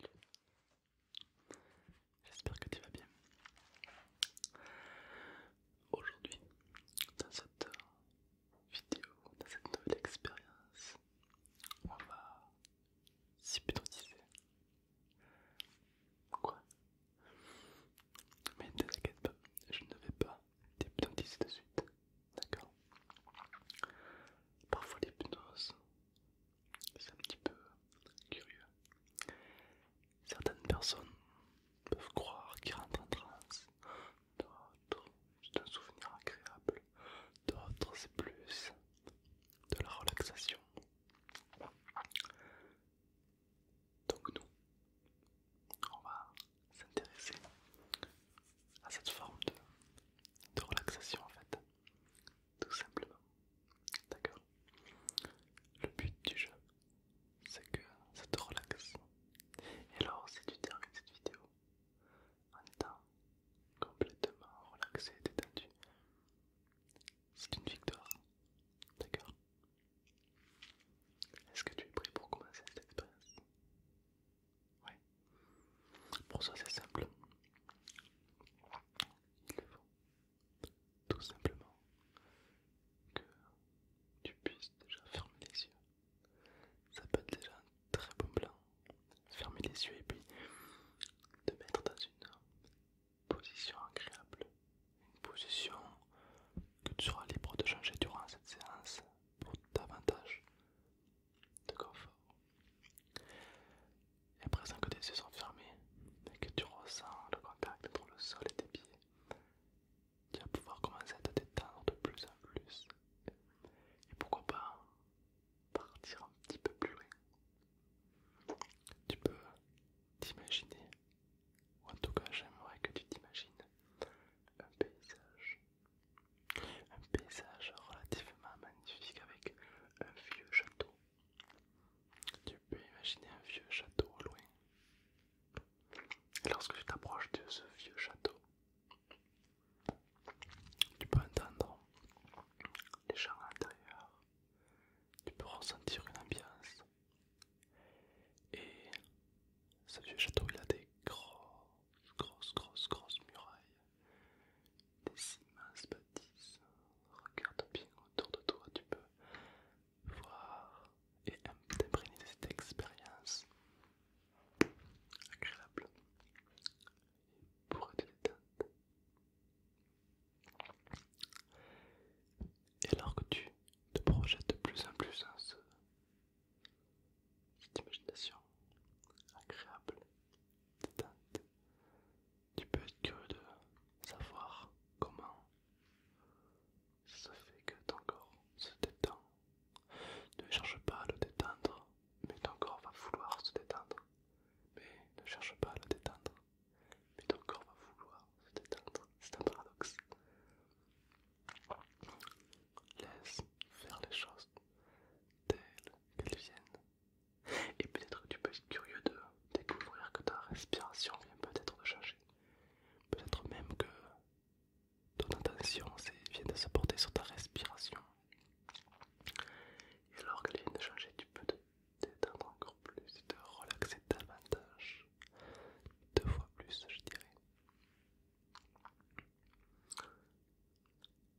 Salut. J'espère que tu vas bien. Aujourd'hui, dans cette vidéo, dans cette nouvelle expérience, on va s'hypnotiser. Pourquoi Mais ne t'inquiète pas, je ne vais pas t'hypnotiser de suite. D'accord Parfois l'hypnose c'est un petit peu curieux. Certaines personnes peuvent croire qu'ils rentrent en transe, d'autres c'est un souvenir agréable, d'autres c'est plus de la relaxation. Donc nous, on va s'intéresser à cette forme de relaxation en fait tout simplement. D'accord Le but du jeu, c'est que ça te relaxe. Et alors, si tu termines cette vidéo en étant complètement relaxé détendu, c'est une victoire. D'accord Est-ce que tu es prêt pour commencer cette expérience Oui. Pour ça, c'est simple. Il faut tout simplement que tu puisses déjà fermer les yeux. Ça peut être déjà un très bon plan. Fermer les yeux et puis te mettre dans une position agréable. Une position que tu seras libre de changer durant cette séance pour davantage de confort. Et à présent que tes yeux sont fermés et que tu ressens le contact entre le sol et tes pieds, tu vas pouvoir commencer à te détendre de plus en plus. Et pourquoi pas partir un petit peu plus loin. Tu peux t'imaginer, ou en tout cas j'aimerais que tu t'imagines, un paysage. Un paysage relativement magnifique avec un vieux château tu peux imaginer un vieux château au loin. lorsque tu t'approches de ce vieux château, tu peux entendre les gens à l'intérieur, tu peux ressentir une ambiance. Et ce vieux château, il a des grosses, grosses, grosses, grosses murailles des immenses bâtisses. Regarde bien autour de toi, tu peux voir et imprégner de cette expérience agréable et pour te détendre. Et alors que tu te projettes de plus en plus dans ce, cette imagination agréable, détente, tu peux être curieux de savoir comment ça fait que ton corps se détend. Ne cherche pas à le détendre, mais ton corps va vouloir se détendre. Mais ne cherche pas à le détendre, mais ton corps va vouloir se détendre. C'est un paradoxe. Laisse faire les choses telles qu'elles viennent. Et peut-être que tu peux être curieux de découvrir que ta respiration vient peut-être de changer. Peut-être même que ton attention vient de se porter sur ta respiration. Et alors qu'elle vient de changer, tu peux te détendre encore plus et te relaxer davantage. Deux fois plus, je dirais.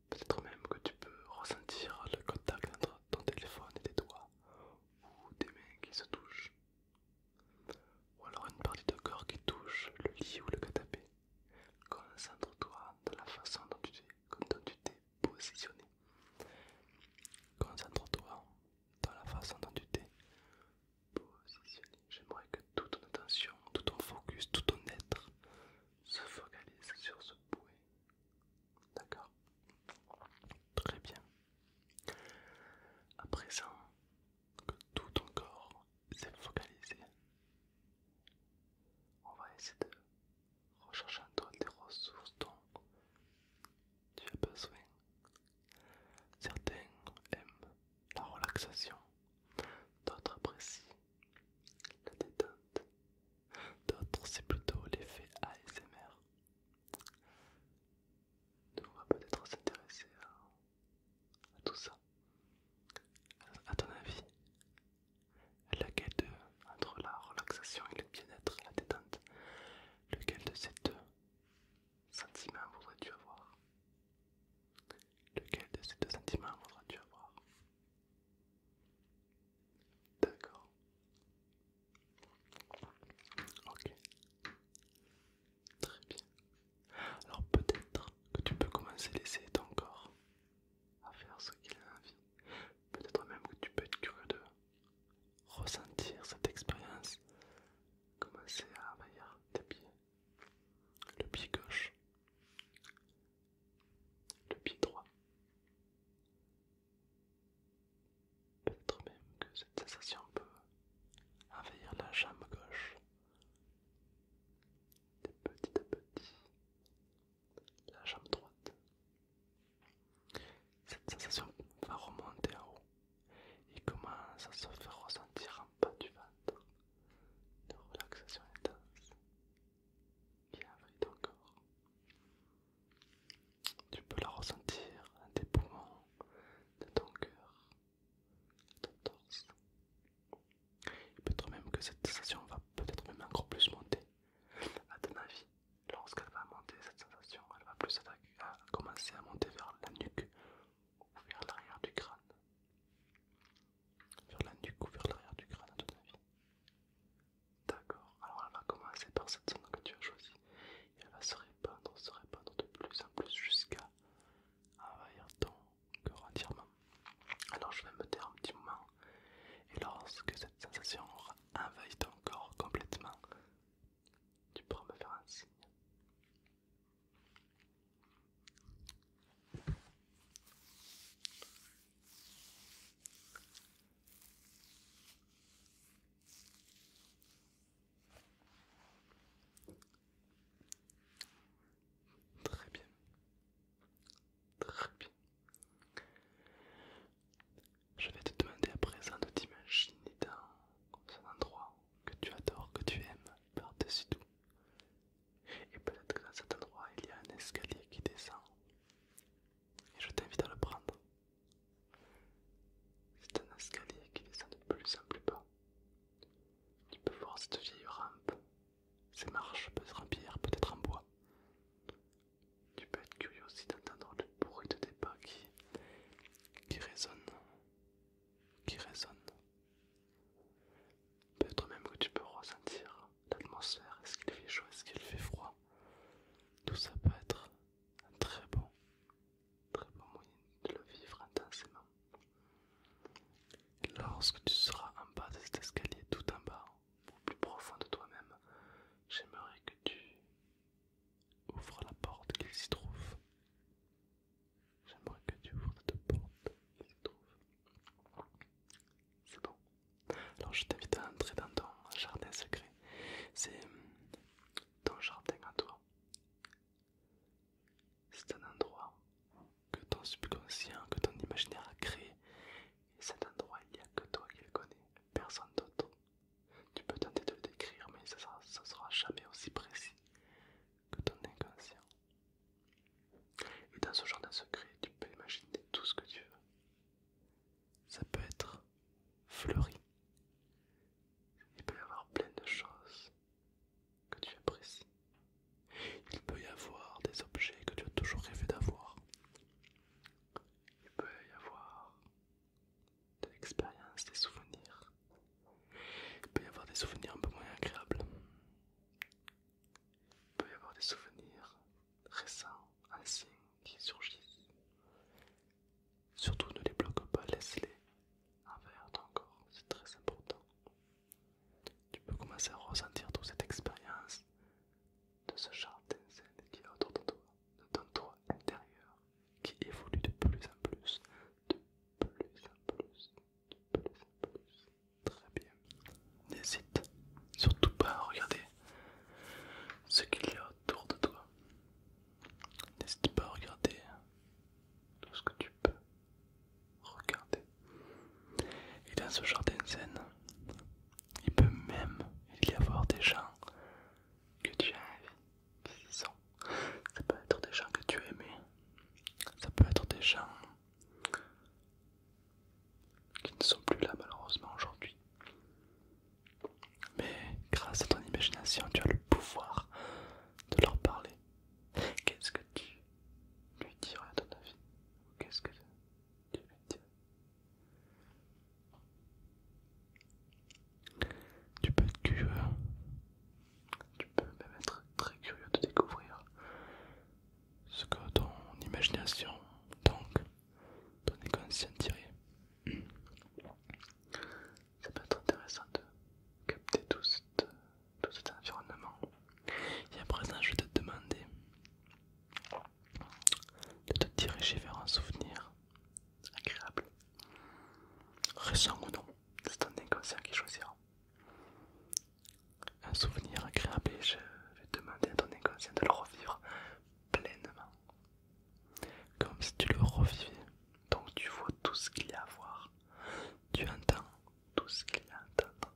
Peut-être même que tu peux ressentir le contact entre ton téléphone et tes doigts ou tes mains qui se touchent. Ou alors une partie de corps qui touche le lit ou le canapé. Concentre-toi dans la façon dont tu t'es positionné. Concentre-toi dans la façon dont tu t'es positionné. J'aimerais que toute ton attention, tout ton focus, tout ton être se focalise sur ce point, D'accord Très bien. À présent que tout ton corps s'est focalisé, on va essayer de rechercher en toi des ressources dont tu as besoin. Certains aiment la relaxation, d'autres apprécient la détente D'autres, c'est plutôt l'effet ASMR. Donc on va peut-être s'intéresser à, tout ça. À ton avis, laquelle de, entre la relaxation et le bien-être, la détente, lequel de ces deux sentiments voudrais-tu avoir Lequel de ces deux sentiments voudrais-tu avoir D'accord. Ok. Très bien. Alors peut-être que tu peux commencer à laisser ton corps à faire ce qu'il a envie. Peut-être même que tu peux être curieux de ressentir cette expérience. Commencer à envahir tes pieds. Le pied gauche. Le pied droit. Peut-être même que cette sensation peut envahir la jambe gauche. De petit à petit, la jambe droite. Cette sensation va remonter en haut et commence à se faire ressentir en bas du ventre. De relaxation intense qui ton encore. Tu peux la ressentir tes poumons, de ton cœur, dans ton torse. Il peut être même que cette sensation va peut-être même encore plus monter. À ton avis, lorsqu'elle va monter, cette sensation, elle va plus commencer à monter vers la nuque ou vers l'arrière du crâne. Vers la nuque ou vers l'arrière du crâne, à ton avis. D'accord, alors elle va commencer par cette zone que tu as choisie et elle va se répandre, se répandre de plus en plus jusqu'à envahir ton corps entièrement. Alors je vais me taire un petit moment et lorsque cette sensation envahit ton corps complètement, tu pourras me faire un signe. Très bien. Très bien. Je vais te demander à présent de t'imaginer dans un endroit que tu adores, que tu aimes par-dessus tout. Et peut-être que dans cet endroit, il y a un escalier qui descend et je t'invite à le prendre. C'est un escalier qui descend de plus en plus bas. Tu peux voir cette vieille rampe, ces marches peut-être en pierre, peut-être en bois. Tu peux être curieux aussi d'entendre le bruit de tes pas qui, qui résonne, qui résonne. Peut-être même que tu peux ressentir l'atmosphère, est-ce qu'il fait chaud, est-ce qu'il fait froid tout ça peut être un très bon, très bon moyen de le vivre intensément. Lorsque tu seras en bas de cet escalier, tout en bas, au plus profond de toi-même, j'aimerais que tu ouvres la porte qu'il s'y trouve. J'aimerais que tu ouvres cette porte qu'il s'y trouve c'est bon. Alors je t'invite à entrer dans ton jardin secret. C'est hum, ton jardin à toi. C'est un endroit que ton subconscient, que ton imaginaire a créé. Et cet endroit, il n'y a que toi qui le connais, personne d'autre. Tu peux tenter de le décrire, mais ça ne sera jamais aussi précis que ton inconscient. Et dans ce jardin secret, tu peux imaginer tout ce que tu veux ça peut être fleuri. Il peut y avoir plein de choses que tu apprécies. Il peut y avoir des objets que tu as toujours rêvé d'avoir. Il peut y avoir de l'expérience, des souvenirs. Il peut y avoir des souvenirs un peu moins agréables. Il peut y avoir des souvenirs récents, anciens qui surgissent. Surtout ne les bloque pas, laisse-les envers ton corps, c'est très important. Tu peux commencer à ressentir toute cette expérience de ce jardin zen qui est autour de toi, de ton toit intérieur, qui évolue de plus en plus, de plus en plus, de plus en plus. Très bien. N'hésite surtout pas à regarder ce qu'il y a autour de toi. N'hésite pas à regarder tout ce que tu peux regarder. Et dans ce jardin zen, il peut même y avoir des gens que tu as envie Ça peut être des gens que tu as aimés, ça peut être des gens qui ne sont plus là malheureusement aujourd'hui. Mais grâce à ton imagination, tu as le pouvoir de leur parler. Qu'est-ce que tu lui dirais à ton avis Ou qu'est-ce que tu lui dirais Tu peux être curieux. Tu peux même être très curieux de découvrir ce que ton imagination, donc ton inconscient tiré Ça peut être intéressant de capter tout, cet environnement. Et à présent, je vais te demander de te diriger vers un souvenir agréable, récent ou non, c'est ton inconscient qui choisira. Un souvenir agréable, et je vais demander à ton inconscient de le revivre pleinement, comme si tu le revivais. Donc tu vois tout ce qu'il y a à voir, tu entends tout ce qu'il y a à entendre,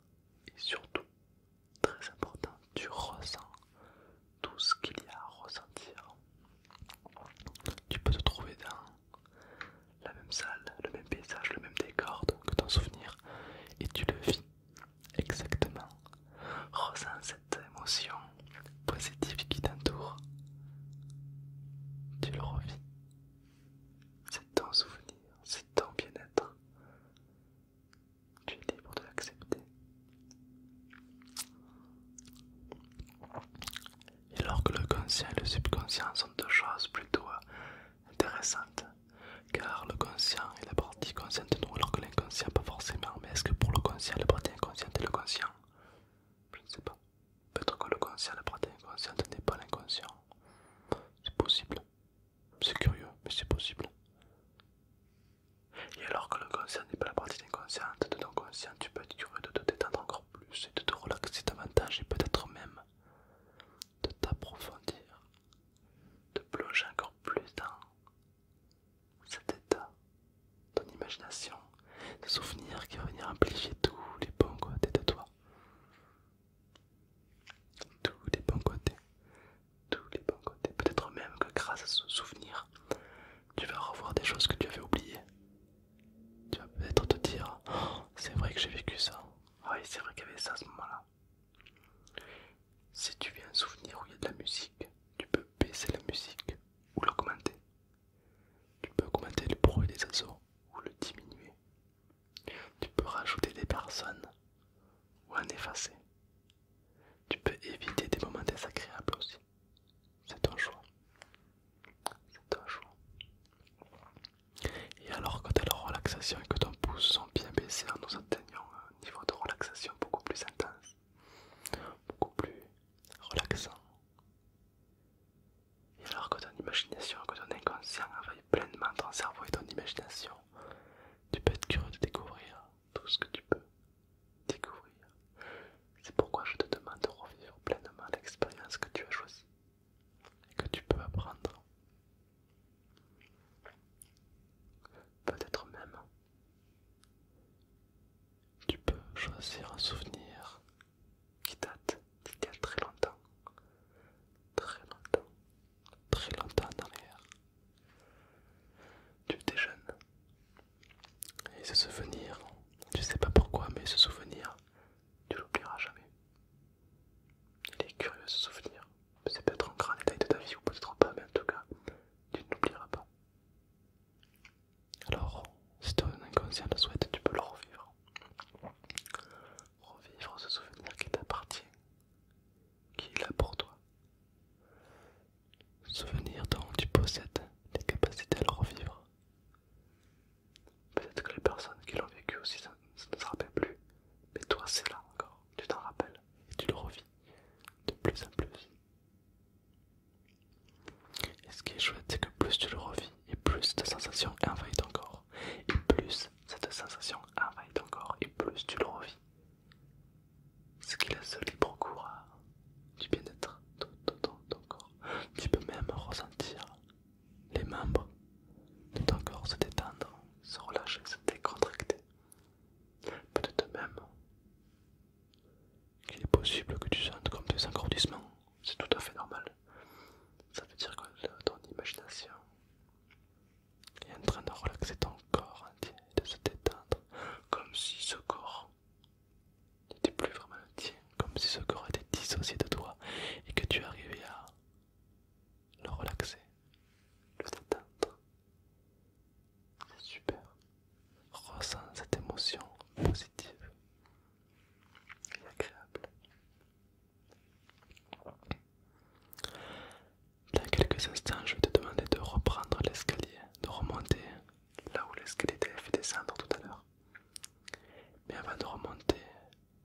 et surtout, très important, tu ressens tout ce qu'il y a à ressentir. Tu peux te trouver dans la même salle, le même paysage, le même décor que ton souvenir, et tu le vis Exactement. Ressens cette émotion positive qui t'entoure. Tu le revis. C'est ton souvenir, c'est ton bien-être. Tu es libre de l'accepter. Et alors que le conscient et le subconscient sont deux choses plutôt intéressantes, car le conscient est la partie consciente de nous, alors que l'inconscient pas forcément. Mais est-ce que pour le conscient, la partie inconsciente est le conscient Je ne sais pas. Peut-être que le conscient, la partie inconsciente n'est pas l'inconscient. C'est possible. C'est curieux, mais c'est possible. Et alors que le conscient n'est pas la partie inconsciente de ton conscient, tu peux être curieux de te détendre encore plus et de te relaxer davantage et peut-être même de t'approfondir, de plonger encore plus dans cet état, ton imagination, ce souvenir qui va venir amplifier tous les bons côtés de toi. Tous les bons côtés, tous les bons côtés. Peut-être même que grâce à ce souvenir, tu vas revoir des choses que tu avais oubliées. Tu vas peut-être te dire, oh, c'est vrai que j'ai vécu ça. Oui, c'est vrai qu'il y avait ça à ce moment-là. Si tu viens un souvenir où il y a de la musique, tu peux baisser la musique ou l'augmenter. Tu peux augmenter le bruit des oiseaux ou le diminuer. Tu peux rajouter des personnes ou en effacer. Tu peux éviter des moments désagréables aussi. C'est ton choix. C'est ton choix. Et alors, quand tu as la relaxation et que ton pouce sont bien baissés en nous atteignant hein, un niveau de relaxation beaucoup plus intense, beaucoup plus relaxant. Et alors que ton imagination, que ton inconscient travaille pleinement ton cerveau et ton imagination, tu peux être curieux de découvrir tout ce que tu peux découvrir. C'est pourquoi je te demande de revivre pleinement l'expérience que tu as choisie et que tu peux apprendre. Peut-être même, tu peux choisir un souvenir qui date d'il y a très longtemps, très longtemps, très longtemps en Tu étais jeune. Et ce souvenir, tu sais pas pourquoi, mais ce souvenir, tu l'oublieras jamais. Il est curieux ce souvenir. C'est peut-être un grand détail de ta vie ou peut-être pas, mais en tout cas, tu n'oublieras pas. Alors, si ton inconscient le souhaite, tu peux le revivre. Revivre ce souvenir qui t'appartient, qui est là pour toi. Souvenir dont tu possèdes des capacités à le revivre. Peut-être que les personnes qui l'ont vécu aussi, ça, ne se rappelle plus. Mais toi, c'est là encore. Tu t'en rappelles et tu le revis de plus en plus. Et ce qui est chouette, c'est que plus tu le revis, et plus cette sensation envahit ton corps, et plus cette sensation envahit ton corps, et plus tu le revis. Ce qui laisse libre cours du bien-être dans ton corps. Tu peux même ressentir les membres de ton corps se détendre, se relâcher, se décontracter. Peut-être même qu'il est possible que tu sentes comme des engourdissements, c'est tout à fait normal. Ça veut dire que ton imagination est en train de relaxer ton corps entier, de se détendre, comme si ce corps n'était plus vraiment le tien, comme si ce corps était dissocié de toi et que tu arrivais à le relaxer, le détendre. C'est super. Ressens cette émotion positive et agréable. Dans quelques instants, je vais te demander de reprendre l'escalier, de remonter là où l'escalier t'avait fait descendre tout à l'heure. Mais avant de remonter,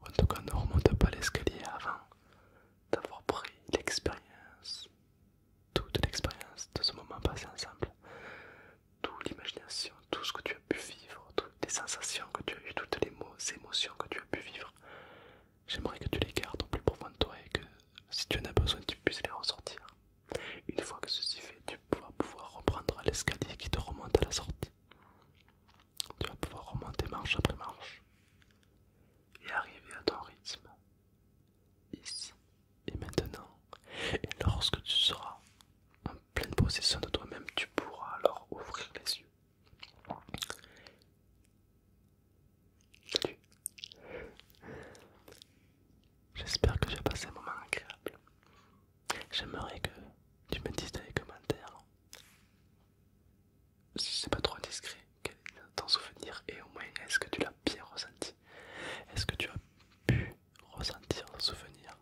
en tout cas ne remonte pas l'escalier avant d'avoir pris l'expérience toute l'expérience de ce moment passé ensemble, toute l'imagination, tout ce que tu as pu vivre, toutes les sensations que tu as eues, toutes les émotions que tu as pu vivre. J'aimerais que tu les gardes au plus profond de toi et que si tu en as besoin, tu puisses les ressortir. Une fois que ceci fait, tu vas pouvoir reprendre l'escalier qui te remonte à la sortie. Tu vas pouvoir remonter marche après marche et arriver à ton rythme, ici et maintenant. Et lorsque tu seras en pleine possession de toi-même, tu pourras alors ouvrir les yeux. Salut. J'espère que j'ai passé un moment agréable. J'aimerais que tu me dises dans les commentaires si c'est pas trop discret quel est ton souvenir et au moins est-ce que tu l'as bien ressenti Est-ce que tu as pu ressentir ton souvenir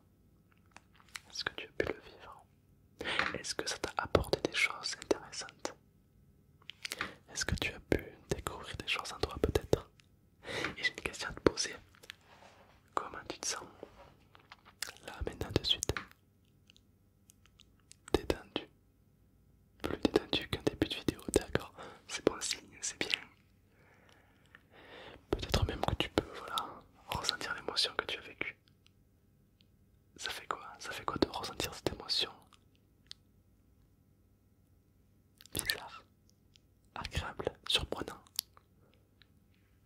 Est-ce que tu as pu le vivre Est-ce que ça t'a apporté des choses intéressantes Est-ce que tu as pu découvrir des choses en toi peut-être Et j'ai une question à te poser. Comment tu te sens Là maintenant de suite Détendu plus détendu qu'un début de vidéo, d'accord C'est bon signe, c'est bien. Peut-être même que tu peux, voilà, ressentir l'émotion que tu as vécue. Ça fait quoi Ça fait quoi de ressentir cette émotion Bizarre, agréable, surprenant.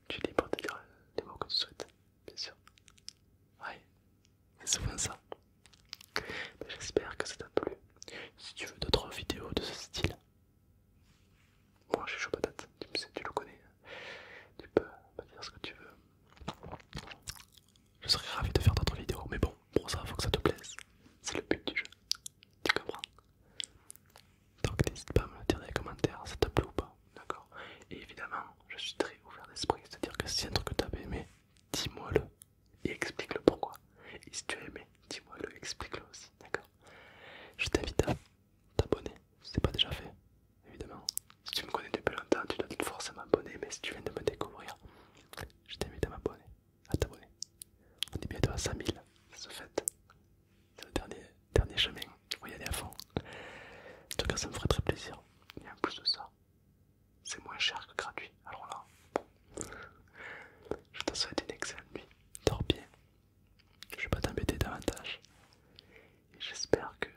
Tu es libre de dire les mots que tu souhaites, bien sûr. Ouais, c'est souvent ça. J'espère que ça t'a plu. Si tu veux d'autres vidéos de ce style, moi je suis chaud patate, tu, le connais, tu peux me dire ce que tu veux. Je serais ravi de faire d'autres vidéos, mais bon, pour ça, faut que ça te plaise. C'est le but du jeu. Tu comprends Donc n'hésite pas à me le dire dans les commentaires, ça te plu ou pas, d'accord Et évidemment, je suis très ouvert d'esprit, c'est-à-dire que si un truc que t'as aimé, dis-moi le et explique le pourquoi. Et si tu as aimé, dis-moi le, explique le aussi, d'accord Je t'invite à t'abonner c'est pas déjà fait, évidemment. Si tu me connais depuis longtemps, tu dois à m'abonner, mais si tu viens de me découvrir, je t'invite à m'abonner, à t'abonner. On est bientôt à 5000, ça se fait. C'est le dernier, dernier chemin, on y aller à fond. En tout cas, ça me ferait très plaisir. Et en plus de ça, c'est moins cher que gratuit. Alors là, je te souhaite une excellente nuit. Dors bien. Je vais pas t'embêter davantage. Et j'espère que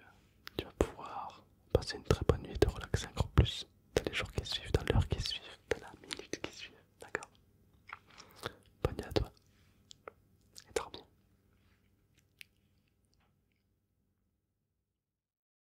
tu vas pouvoir passer une très bonne nuit et te relaxer encore plus dans les jours qui suivent, dans l'heure qui suivent, dans la minute qui suivent. D'accord Bonne nuit à toi. Et dors bien.